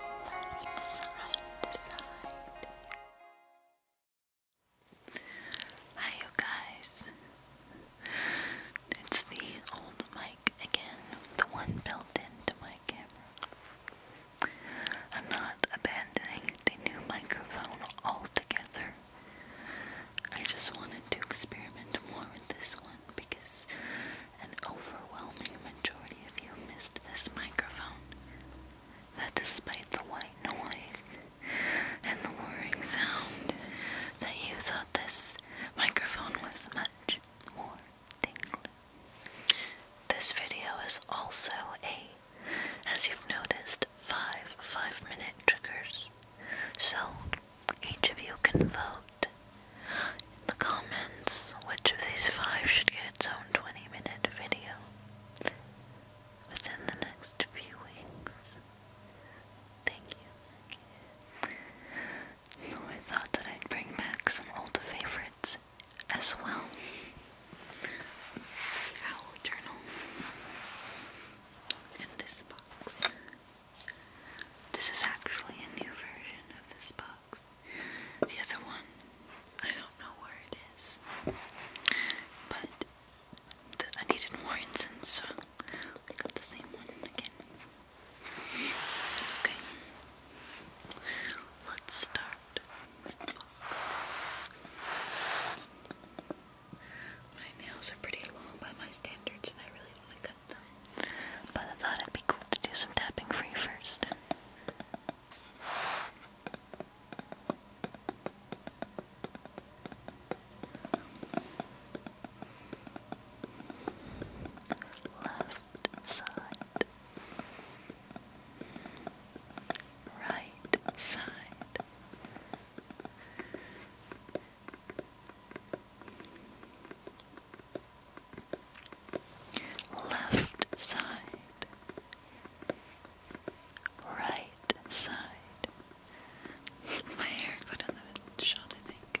Hi, you guys. It's the old mic again, the one built into my camera. I'm not abandoning the new microphone altogether. I just wanted to experiment more with this one because an overwhelming majority of you missed this microphone. That despite the white noise and the whirring sound, that you thought this microphone was much more tingly. This video is also a, as you've noticed, five five minute triggers. So each of you can vote in the comments which of these five should get its own 20 minute video within the next few weeks. Thank you. So I thought that I'd bring back some old favorites as well. Owl journal in this box. This is actually a new version of this box. The other one, I don't know where it is. But I needed more incense, so I got the same one again. Okay. Let's start with My nails are pretty long by my standards, and I really want them. But I thought it'd be cool to do some tapping for you first. Left side, right side, left side, right side. My hair got on the shot, I think.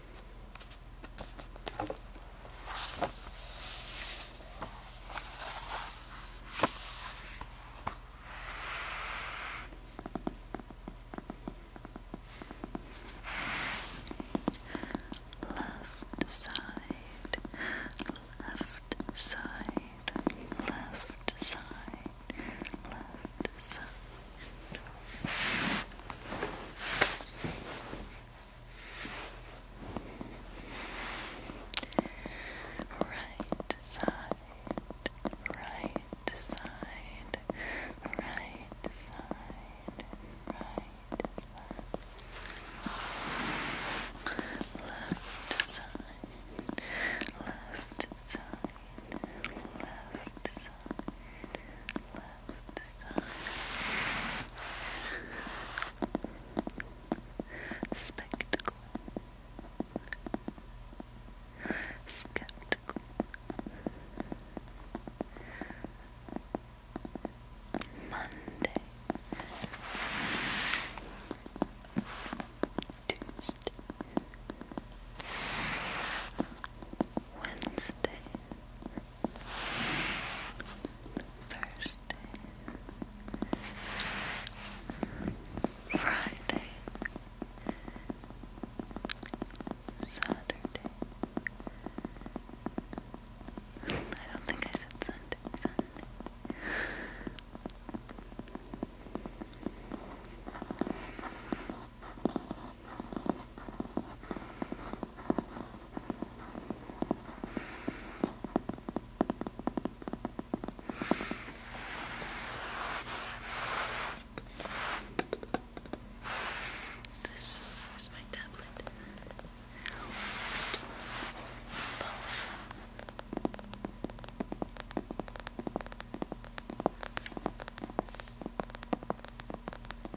Left side, left side, left side, left side. Right side, right side, right side, right left side, left side, left side, left left side. Spectacle. Monday. Tuesday. Wednesday. Thursday, Friday, Saturday. I don't think I said Sunday. This is my tablet. Let's do both.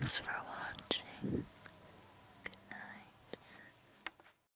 Thanks for watching. Good night.